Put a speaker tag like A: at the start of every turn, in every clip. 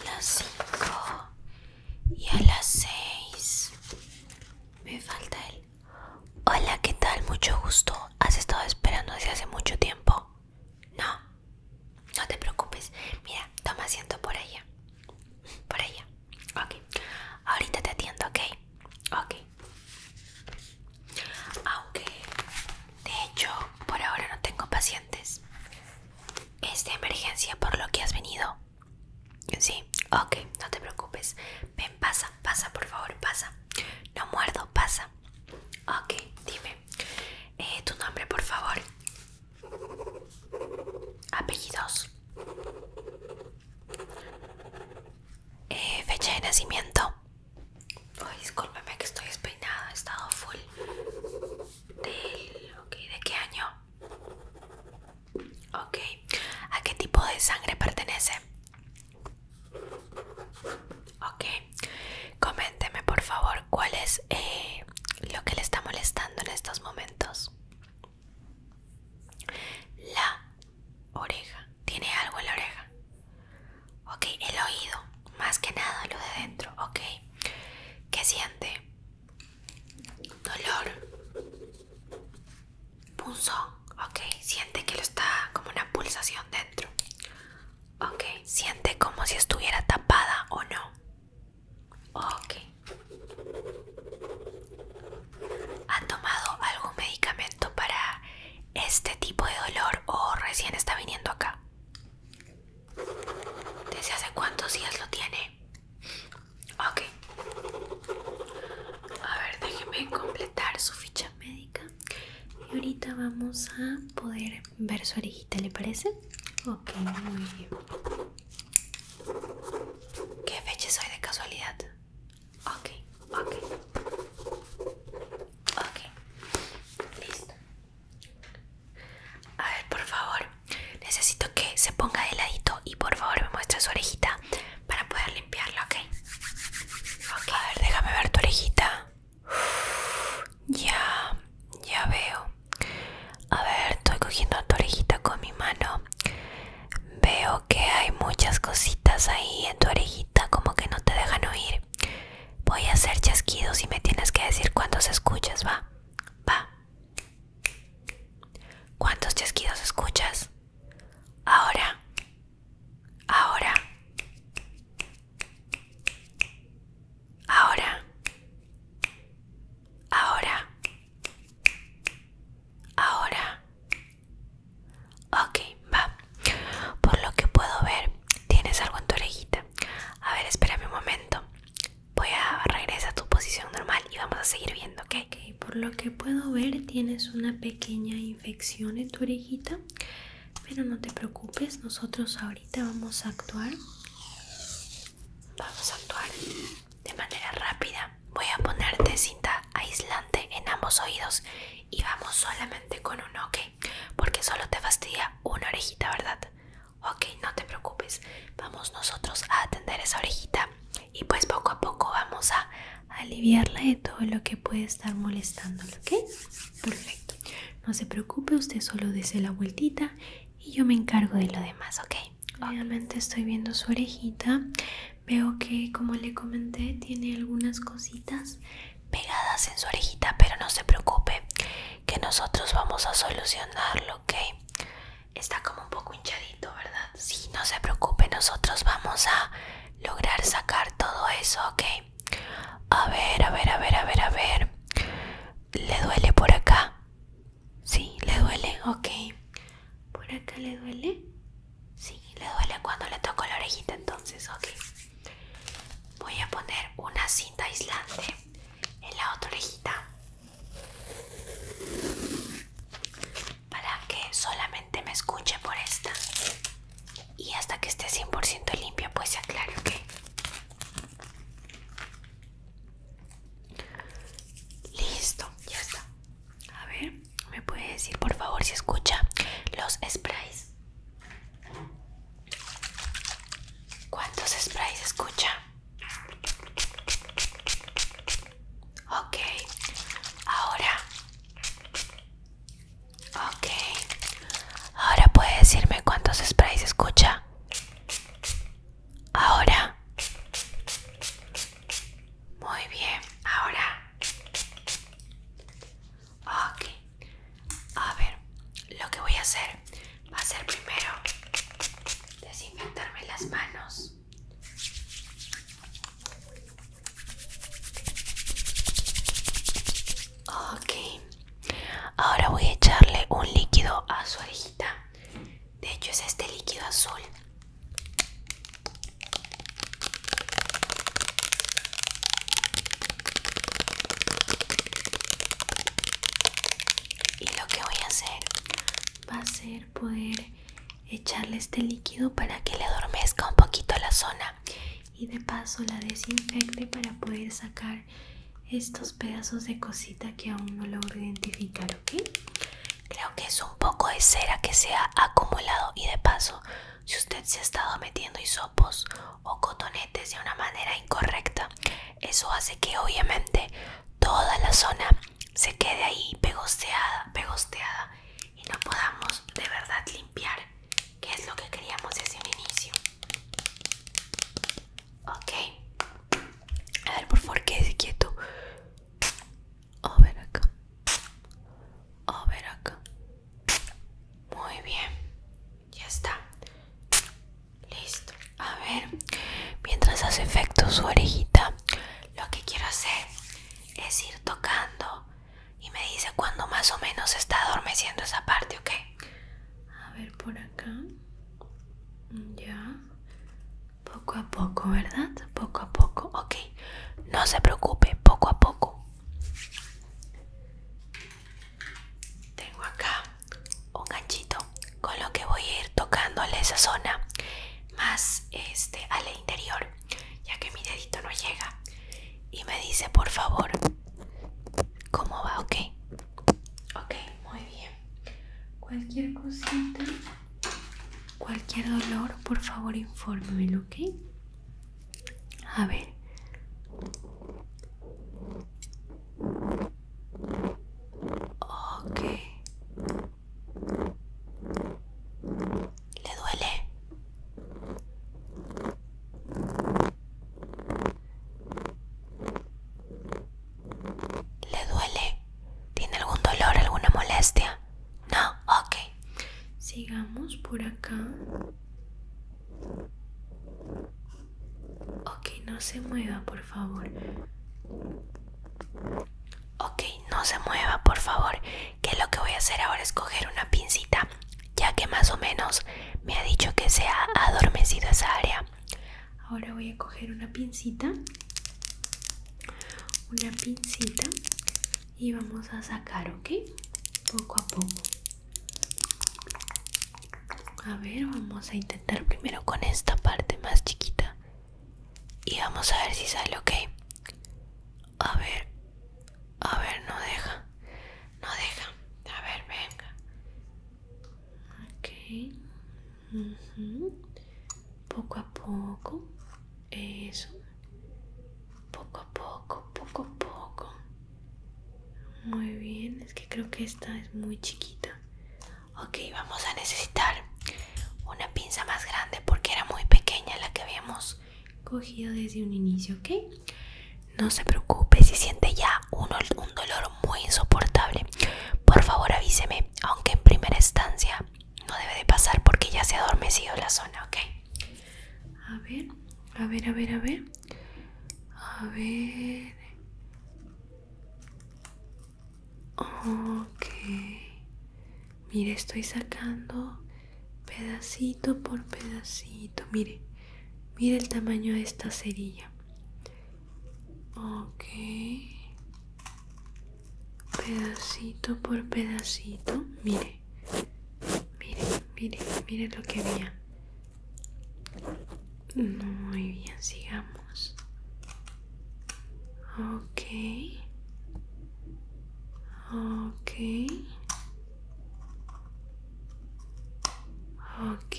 A: A las 5 y a las 6 me falta él. Hola, ¿qué tal? Mucho gusto. ¿Has estado esperando desde hace mucho tiempo? No, no te preocupes. Mira, toma asiento por allá. Por allá. Ok. Ahorita te atiendo, ¿ok? Ok. Aunque de hecho, por ahora no tengo pacientes. Es de emergencia por lo que has venido. Sí, ok, no te preocupes. Ven, pasa, pasa, por favor, pasa. No muerdo, pasa. Ok, dime. Eh, tu nombre, por favor. Apellidos. Eh, fecha de nacimiento. Ay, discúlpeme que estoy despeinado he estado full. ¿De qué año? Ok. ¿A qué tipo de sangre pertenece? Ok. Coménteme por favor cuál es eh, lo que le está molestando en estos momentos. La oreja. ¿Tiene algo en la oreja? Ok, el oído, más que nada lo de dentro, ok. ¿Qué siente? Dolor. Punzón, ok. Siente que lo está como una pulsación dentro. Ok, siente como si estuviera tapada o no. Ok. ¿Ha tomado algún medicamento para este tipo de dolor o recién está viniendo acá? ¿Desde hace cuántos días lo tiene? Ok. A ver, déjeme completar su ficha médica. Y ahorita vamos a poder ver su orejita, ¿le parece? Ok, muy bien. ¿Qué fecha soy de casualidad? Ok, ok. Ok, listo. A ver, por favor, necesito que se ponga de ladito y por favor me muestre su orejita para poder limpiarla, ¿ok? A ver, déjame ver tu orejita. ya, ya veo. A ver, estoy cogiendo tu orejita con mi mano. Veo que hay muchas cositas ahí en tu orejita como que no te dejan oír. Voy a hacer chasquidos y me tienes que decir cuántos escuchas, va. Va. ¿Cuántos chasquidos escuchas? Ahora. Ahora. Ahora. Ahora. Ahora. Ok, va. Por lo que puedo ver, tienes algo en tu orejita. A ver, espérame un momento. Voy a regresar a tu posición normal y vamos a seguir viendo, ¿ok? por lo que puedo ver, tienes una pequeña infección en tu orejita. Pero no te preocupes, nosotros ahorita vamos a actuar. Vamos a actuar de manera rápida. Voy a ponerte cinta aislante en ambos oídos y vamos solamente con uno, ¿ok? porque solo te fastidia una orejita, ¿verdad? Ok, no te preocupes, vamos nosotros a atender esa orejita y pues poco a poco vamos a aliviarla de todo lo que puede estar molestándola, ¿ok? Perfecto, no se preocupe, usted solo dese la vueltita y yo me encargo de lo demás, ¿ok? Obviamente estoy viendo su orejita, veo que como le comenté tiene algunas cositas pegadas en su orejita, pero no se preocupe que nosotros vamos a solucionarlo, ¿ok? Está como un poco hinchadito, ¿verdad? Sí, no se preocupe, nosotros vamos a lograr sacar todo eso, ¿ok? A ver, a ver, a ver, a ver, a ver. ¿Le duele por acá? Sí, le duele, ok. ¿Por acá le duele? Sí, le duele cuando le toco la orejita, entonces, ok. Voy a poner una cinta aislante en la otra orejita para que solamente me escuche por esta y hasta que esté 100% limpia pues se aclare, ¿ok? Listo, ya está. A ver, ¿me puede decir por favor si escucha los sprays? ¿Cuántos sprays escucha? Ok, ahora. Ok, ahora puede decirme cuántos sprays escucha. Ahora. Muy bien, ahora. Ok. A ver, lo que voy a hacer va a ser primero desinfectarme las manos. Ok. Ahora voy a echarle un líquido a su orejita. De hecho es este líquido azul y lo que voy a hacer va a ser poder echarle este líquido para que le adormezca un poquito la zona y de paso la desinfecte para poder sacar estos pedazos de cosita que aún no logro identificar, ¿ok? Creo que es un poco de cera que se ha acumulado y de paso si usted se ha estado metiendo hisopos o cotonetes de una manera incorrecta, eso hace que obviamente toda la zona se quede ahí pegosteada, pegosteada y no podamos de verdad limpiar, que es lo que queríamos desde un inicio. Ok, a ver, por favor, quédese quieto. A ver acá, a ver acá, muy bien, ya está. Listo. A ver, mientras hace efecto su orejita, lo que quiero hacer es ir tocando y me dice cuando más o menos está adormeciendo esa parte, ¿ok? A ver por acá. Ya. Poco a poco, ¿verdad? Poco a poco. Ok. No se preocupe, poco a poco. Tengo acá un ganchito con lo que voy a ir tocando a esa zona más este al interior, ya que mi dedito no llega. Y me dice, por favor, ¿cómo va? Ok, ok, muy bien. Cualquier cosita, cualquier dolor, por favor, infórmemelo, ok. A ver. ¿Le duele? ¿Le duele? ¿Tiene algún dolor, alguna molestia? No, okay, Sigamos por acá. Ok, no se mueva, por favor. Ok, no se mueva, por favor. Que lo que voy a hacer ahora es coger una pincita, ya que más o menos me ha dicho que se ha adormecido esa área. Ahora voy a coger una pincita, una pincita y vamos a sacar, ¿ok? Poco a poco. A ver, vamos a intentar primero con esta parte más chiquita. Y vamos a ver si sale, ¿ok? A ver. A ver, no deja. No deja. A ver, venga. Ok. Poco a poco. Eso. Poco a poco, poco a poco. Muy bien, es que creo que esta es muy chiquita. Ok, vamos a necesitar una pinza más grande porque era muy pequeña la que habíamos cogido desde un inicio, ¿ok? No se preocupe si siente ya un, dolor muy insoportable. Por favor avíseme, aunque en primera instancia no debe de pasar porque ya se ha adormecido la zona, ¿ok? A ver, a ver, a ver, a ver. A ver. Ok. Mire, estoy sacando pedacito por pedacito. Mire, mire el tamaño de esta cerilla. Ok. Pedacito por pedacito. Mire. Mire, miren miren miren lo que había muy bien sigamos ok ok ok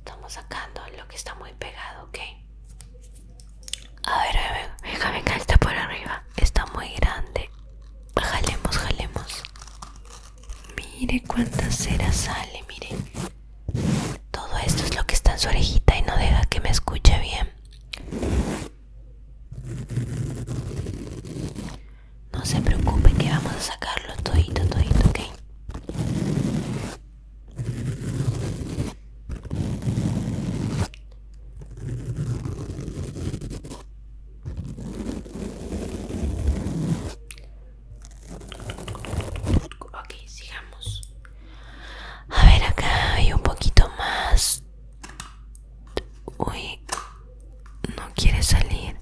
A: estamos sacando lo que está muy pegado ok a ver, a ver, déjame que está por arriba. Está muy grande. Jalemos, jalemos. Mire cuántas cera sale, mire. Todo esto es lo que está en su orejita y no deja que me escuche bien. No se preocupe que vamos a sacarlo todito, todito, ¿ok? Ok, sigamos. A ver, acá hay un poquito más. Uy, no quiere salir.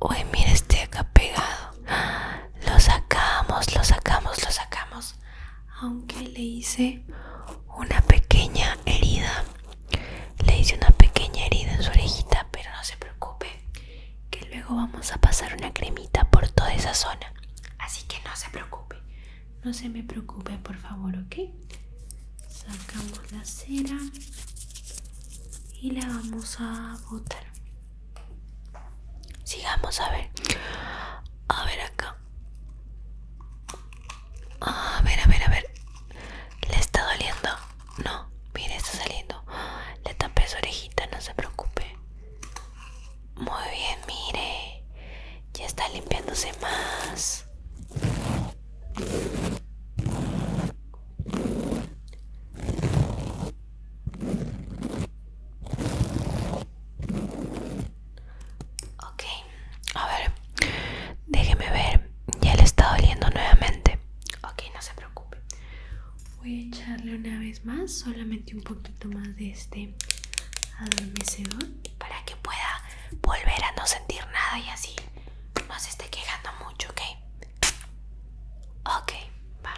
A: Uy, mira este acá pegado. Lo sacamos, lo sacamos, lo sacamos aunque le hice una pequeña herida le hice una pequeña herida en su orejita pero no se preocupe que luego vamos a pasar una cremita por toda esa zona así que no se preocupe no se me preocupe por favor ok sacamos la cera y la vamos a botar sigamos a ver a ver acá a ver, a ver, a ver. ¿Le está doliendo? No, mire, está saliendo. Le tapé su orejita, no se preocupe. Muy bien, mire. Ya está limpiándose más. Ok, a ver, déjeme ver. Ya le está doliendo nuevamente. Ok, no se preocupe. Voy a echarle una vez más, solamente un poquito más de este adormecedor para que pueda volver a no sentir nada y así no se esté quejando mucho, ¿ok? Ok, va.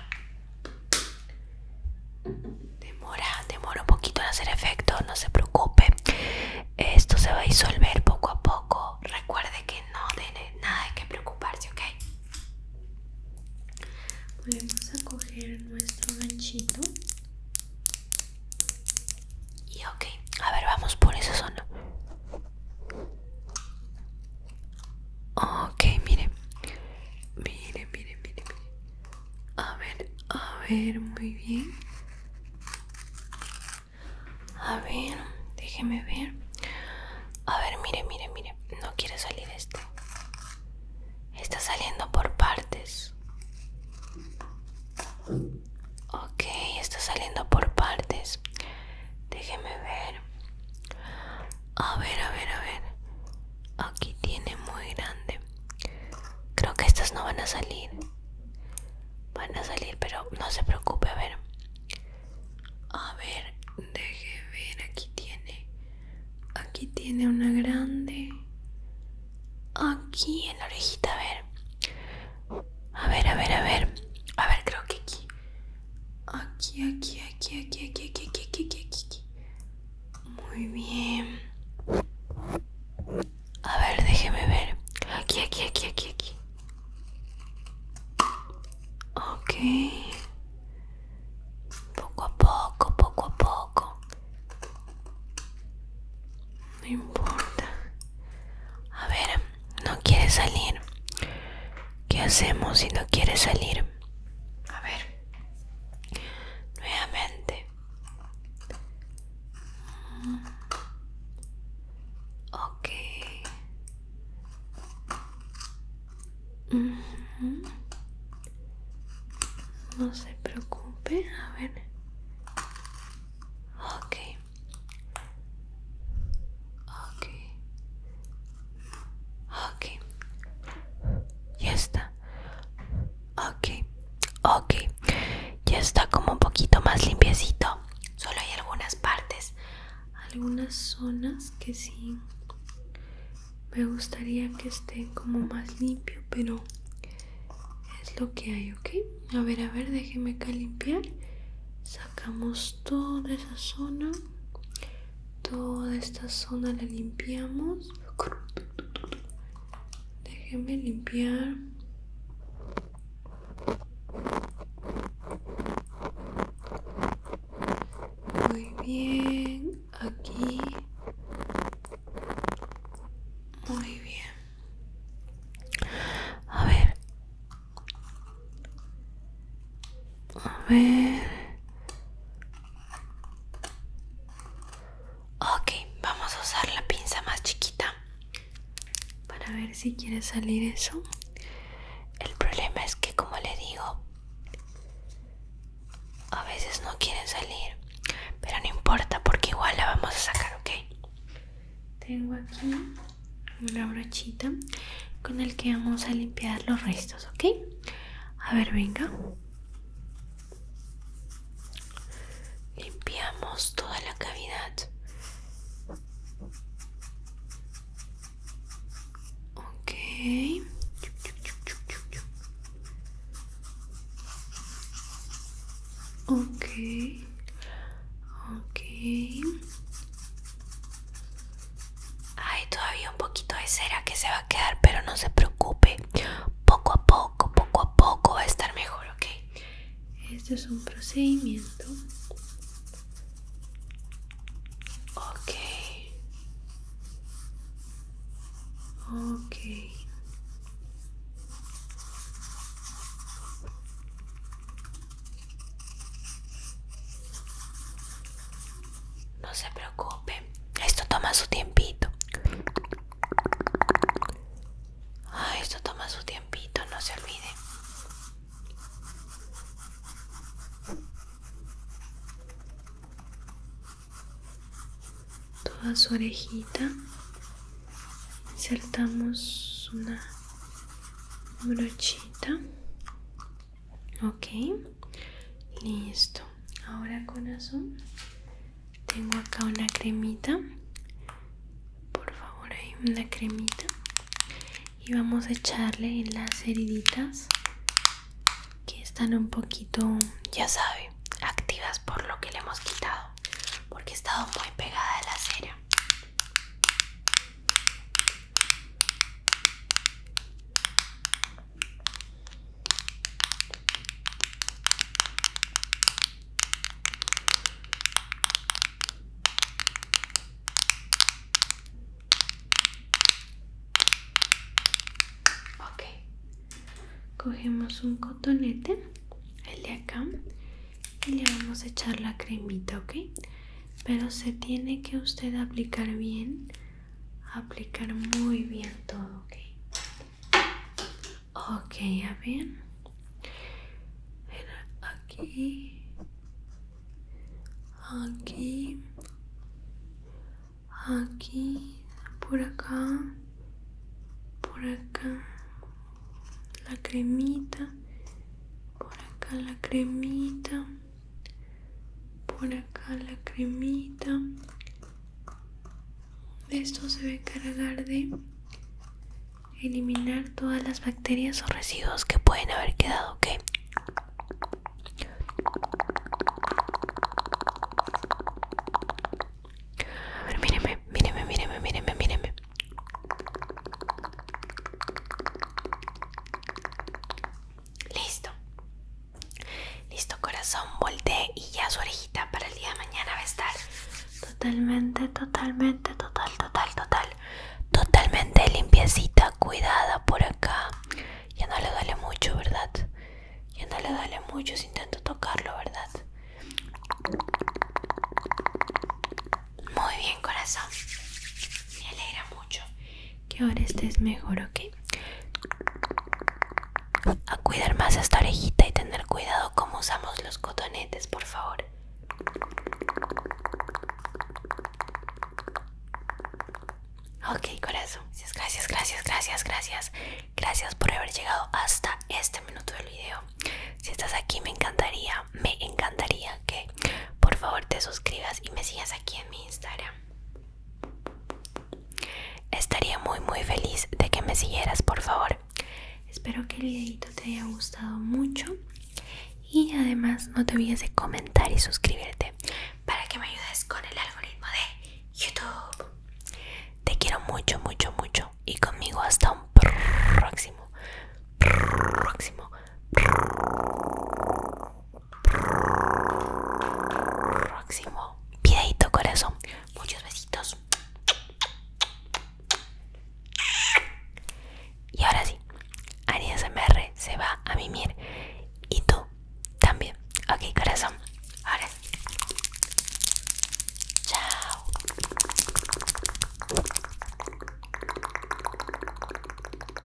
A: Demora, demora un poquito en hacer efecto, no se preocupe. Esto se va a disolver poco a poco. Recuerde que no tiene nada de qué preocuparse, ¿ok? Vamos a coger nuestro ganchito. Y ok, a ver, vamos por eso. zona. Ok, miren Mire, miren, miren mire. A ver, a ver, muy bien. A ver, déjeme ver. A ver, mire, mire, mire. No quiere salir este Está saliendo por partes. Ok, está saliendo por partes. Déjeme ver. A ver, a ver, a ver. Aquí tiene muy grande. Creo que estas no van a salir. Van a salir, pero no se preocupe, a ver. A ver, deje ver, aquí tiene. Aquí tiene una grande. Aquí en la orejita, a ver. A ver, a ver, a ver. A ver, creo que aquí. Aquí, aquí, aquí, aquí, aquí, aquí, aquí, aquí, aquí. Muy bien. A ver, déjeme ver. Aquí, aquí, aquí, aquí, aquí. Ok. Poco a poco, poco a poco. No importa. A ver, no quiere salir. ¿Qué hacemos si no quiere salir? A ver nuevamente ok no se preocupe a ver Okay. Okay. Okay. ya está Ok, ok. Ya está como un poquito más limpiecito. Solo hay algunas partes, algunas zonas que sí me gustaría que estén como más limpio, pero es lo que hay, ¿ok? A ver, a ver, déjeme acá limpiar. Sacamos toda esa zona toda esta zona la limpiamos déjenme limpiar muy bien aquí muy bien a ver a ver Ok, vamos a usar la pinza más chiquita para ver si quiere salir eso. El problema es que, como le digo, a veces no quiere salir, pero no importa porque igual la vamos a sacar, ¿ok? Tengo aquí una brochita con el que vamos a limpiar los restos, ¿ok? A ver, venga. Limpiamos toda la cavidad. Okay. Okay. Ok. Hay todavía un poquito de cera que se va a quedar, pero no se preocupe. Poco a poco, poco a poco va a estar mejor, ¿ok? Este es un procedimiento. Ok. Ok. No se preocupe, esto toma su tiempito. Ah, esto toma su tiempito, no se olvide. Toda su orejita. Insertamos una brochita ok listo ahora con azul tengo acá una cremita por favor hay una cremita y vamos a echarle las heriditas que están un poquito ya sabe activas por lo que le hemos quitado porque he estado muy pegada a la cera Okay, cogemos un cotonete, el de acá, y le vamos a echar la cremita, ok. Pero se tiene que usted aplicar bien aplicar muy bien todo, ¿ok? Ok, ya ven. Aquí. Aquí. Aquí. Por acá. Por acá. La cremita. Por acá la cremita por acá la cremita esto se va a encargar de eliminar todas las bacterias o residuos que pueden haber quedado ok ver míreme míreme míreme míreme míreme listo Listo corazón, volteé y ya su orejita para el día de mañana va a estar totalmente, totalmente, total, total, total, totalmente limpiecita, cuidada por acá. Ya no le duele mucho, ¿verdad? Ya no le duele mucho si intento tocarlo, ¿verdad? Muy bien corazón, me alegra mucho que ahora estés mejor, ¿ok? A cuidar más esta orejita y tener cuidado cómo usamos los cotonetes, por favor. Ok, corazón. Gracias, gracias, gracias, gracias. Gracias por haber llegado hasta este minuto del video. Si estás aquí, me encantaría, me encantaría que por favor te suscribas y me sigas aquí en mi Instagram. Estaría muy muy feliz de que me siguieras, por favor. Espero que el videito te haya gustado mucho y además no te olvides de comentar y suscribirte para que me ayudes con el algoritmo de YouTube. Te quiero mucho, mucho, mucho y conmigo hasta un próximo, próximo próximo videito, corazón. Muchos besitos. Y ahora sí, Arias MR se va a mimir. Y tú también. Ok, corazón. Ahora. Chao.